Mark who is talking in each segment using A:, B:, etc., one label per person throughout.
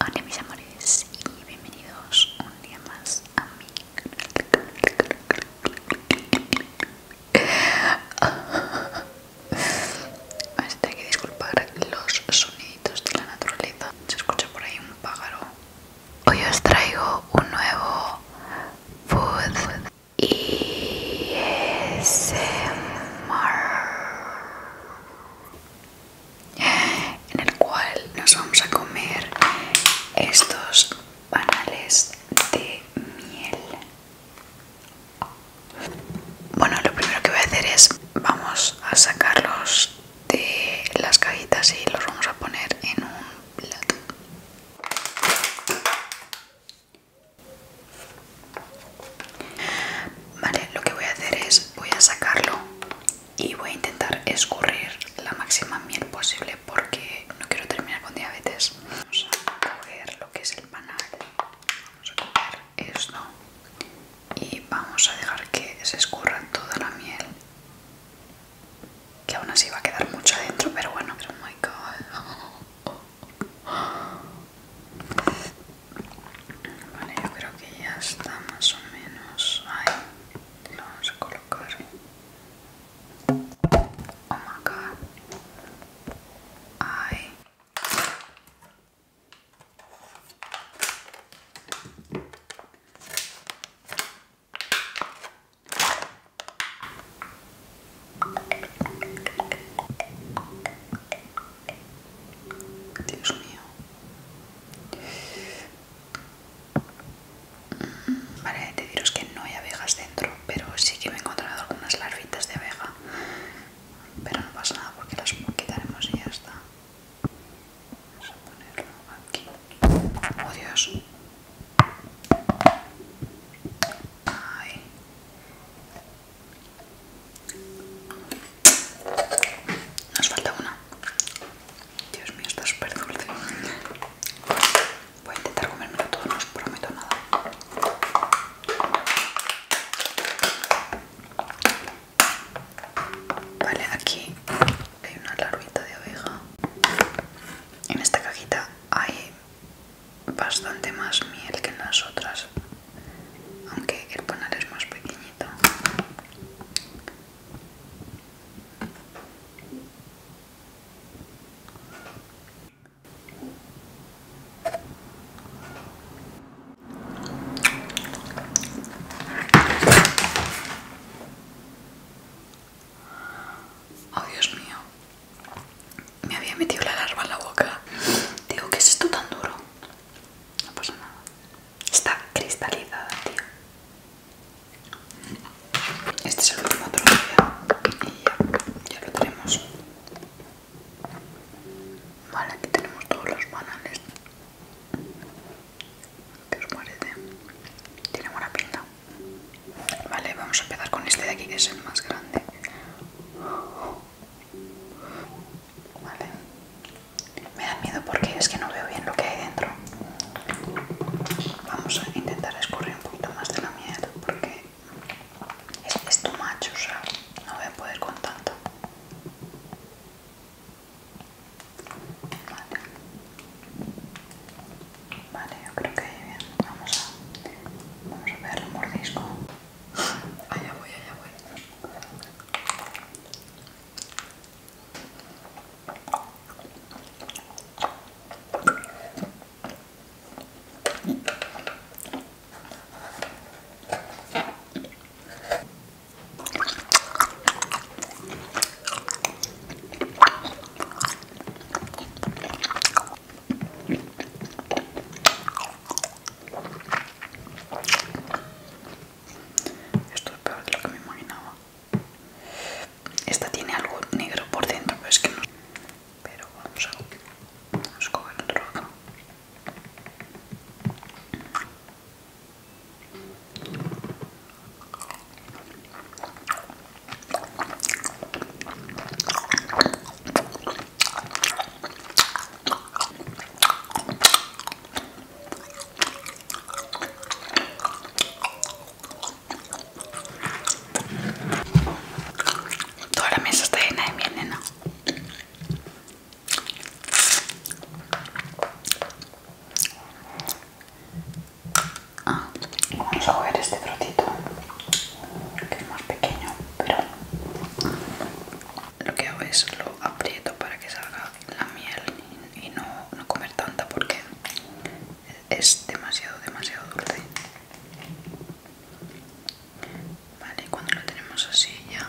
A: Hola mis amores y bienvenidos un día más a mi Tengo que disculpar los soniditos de la naturaleza. Se escucha por ahí un pájaro. Hoy os traigo un nuevo food y eh, mar en el cual nos vamos a comer estos panales de miel. Bueno, lo primero que voy a hacer es vamos a sacarlos de las cajitas y los vamos a poner en un plato. Vale, lo que voy a hacer es voy a sacarlo y voy a intentar escurrir la máxima miel posible porque no quiero terminar con diabetes. Vamos a coger lo que es el panal, vamos a coger esto y vamos a dejar que se escurra toda la miel. Que aún así va a quedar mucho adentro, pero bueno. Oh my god. Vale, yo creo que ya está más o menos ahí. Lo vamos a colocar. Oh my god. Dios mío. Mm, vale, de deciros que no hay abejas dentro, pero sí que me he encontrado algunas larvitas de abeja. Pero no pasa nada porque las quitaremos y ya está. Vamos a ponerlo aquí. ¡Oh Dios! Ay. Nos falta una. Dios mío, está súper dulce. Voy a intentar comérmelo todo, no os prometo nada. Vale, aquí hay una larvita de oveja. En esta cajita hay bastante más miel que en las otras aunque el panal es más pequeñito Oh Dios mío, me había metido la larva en la boca. Digo, ¿qué es esto tan duro? No pasa nada. Está cristalizada, tío. Este es el último día y ya, ya lo tenemos. Vale, aquí tenemos todos los banales. ¿Qué os parece? Tiene buena pinta. Vale, vamos a empezar con este de aquí que es el más grande. Vale. Me da miedo porque es que no veo bien lo que hay dentro. Vamos a intentar escurrir un poquito más de la mierda porque es, es tu macho, o sea, no voy a poder con tanto. Vale. Vale, yo creo que ahí bien. Vamos a, vamos a pegarle un mordisco. Allá voy, allá voy. Esto es peor de lo que me imaginaba. Esta tiene algo negro por dentro, pero es que no. Pero vamos a, vamos a coger otro Toda la mesa está llena de miel, nena. Ah, vamos a coger este trocito que es más pequeño, pero lo que hago es lo aprieto para que salga la miel y no, no comer tanta porque es demasiado, demasiado dulce. Vale, cuando lo tenemos así ya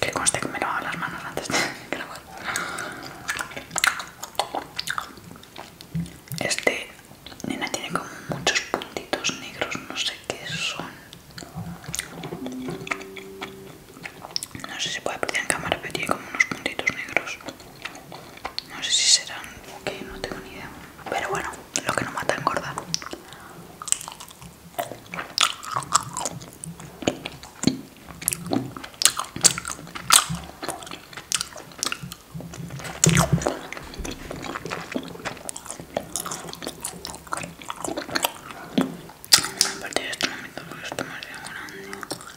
A: Que conste que me lo las manos antes de Este nena tiene como muchos puntitos negros, no sé qué son. No sé si puede apreciar en cámara, pero tiene como unos puntitos negros. No sé si serán o qué, no tengo ni idea. Pero bueno, lo que no mata engorda. A partir de este momento, porque esto me hace grande.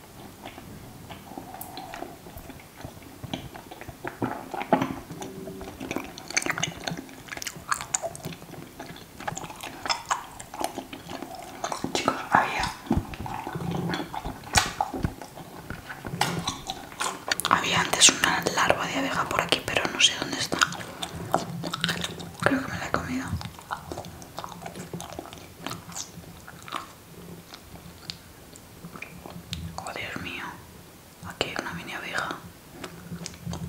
A: Chicos, había había antes una larva de abeja por aquí, pero no sé dónde está. Creo que me la he comido. Oh Dios mío, aquí hay una mini abeja.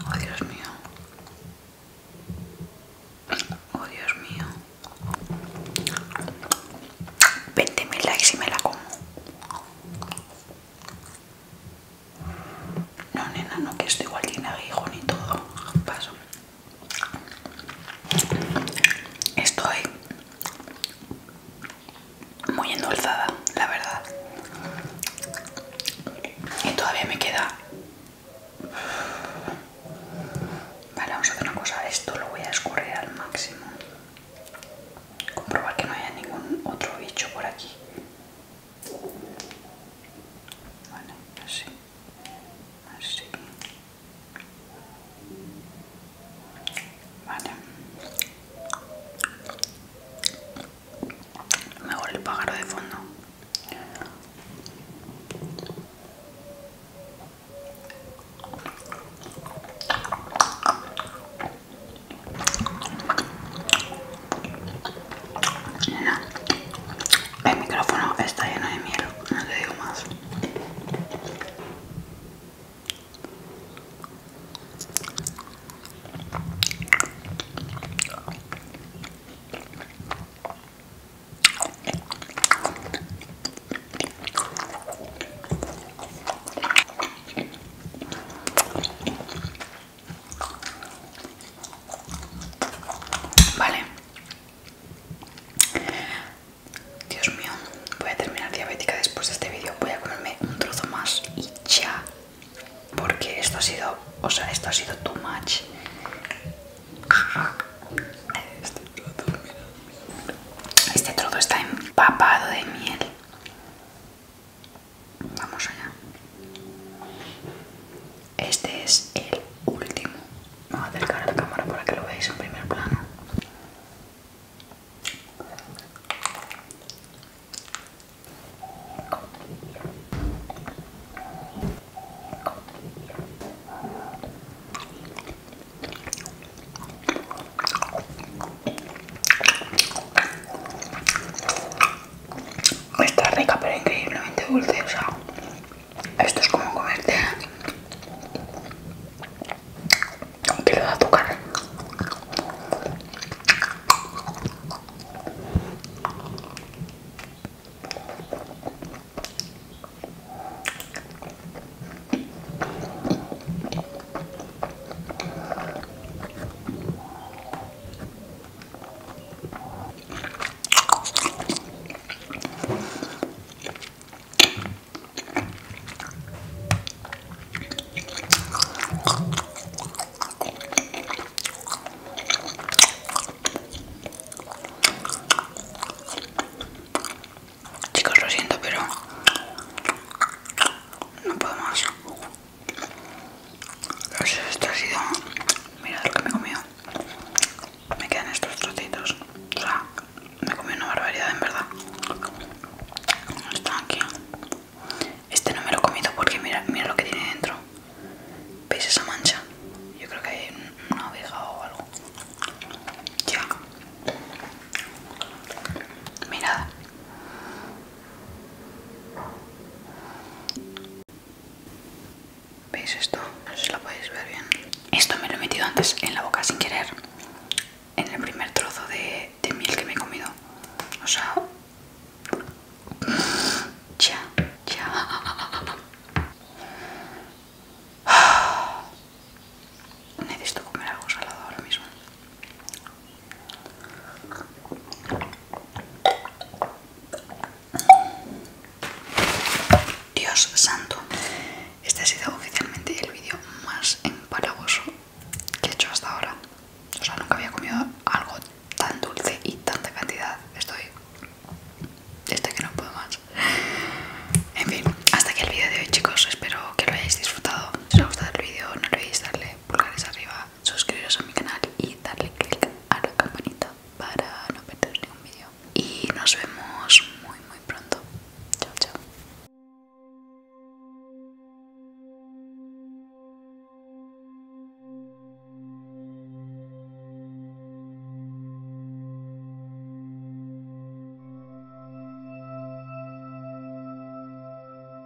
A: Oh Dios mío. Oh Dios mío. 20.000 likes y me la como. No, nena, no, que esto igual tiene aguijón y todo. Paso. Estoy muy endulzada, la verdad. Y todavía me queda... Vale, vamos a hacer una cosa. Esto lo voy a escurrir al máximo. Comprobar que no haya ningún otro bicho por aquí. Vale, así así vale mejor el pájaro de fondo el micrófono está lleno de miedo no te digo más. Vale, Dios mío, voy a terminar diabética después de este vídeo. Voy a comerme un trozo más y ya. Porque esto ha sido, o sea, esto ha sido too much. Este trozo, este está empapado de miel. Vamos allá. Este es el último. Vamos a acercar a la cámara para que lo veáis en primer plano. Pues está rica pero increíblemente dulce, o sea, esto es como comerte un kilo de azúcar. Chicos, lo siento, pero no puedo más. Esto ha sido. Mira lo que me he comido. Me quedan estos trocitos. O sea, me he comido una barbaridad en verdad. están aquí. Este no me lo he comido porque mira, mira lo que tiene dentro. ¿Veis esa mancha? Yo creo que hay una oveja o algo. Ya. Mirad. ¿Veis esto? No sé si lo podéis ver bien. Esto me lo he metido antes en la boca sin querer. En el primer trozo de, de miel que me he comido. O sea... Ya, ya. Necesito comer algo salado ahora mismo. Dios santo, este ha sido oficialmente el vídeo más empalagoso que he hecho hasta ahora. O sea, nunca había comido algo tan dulce y tanta cantidad. Estoy. que no puedo más. En fin, hasta aquí el vídeo de hoy, chicos. Espero que lo hayáis disfrutado. Si os ha gustado el vídeo, no olvidéis darle pulgares arriba suscribiros a mi canal y darle click a la campanita para no perder ningún vídeo. Y nos vemos muy muy pronto. Chao, chao.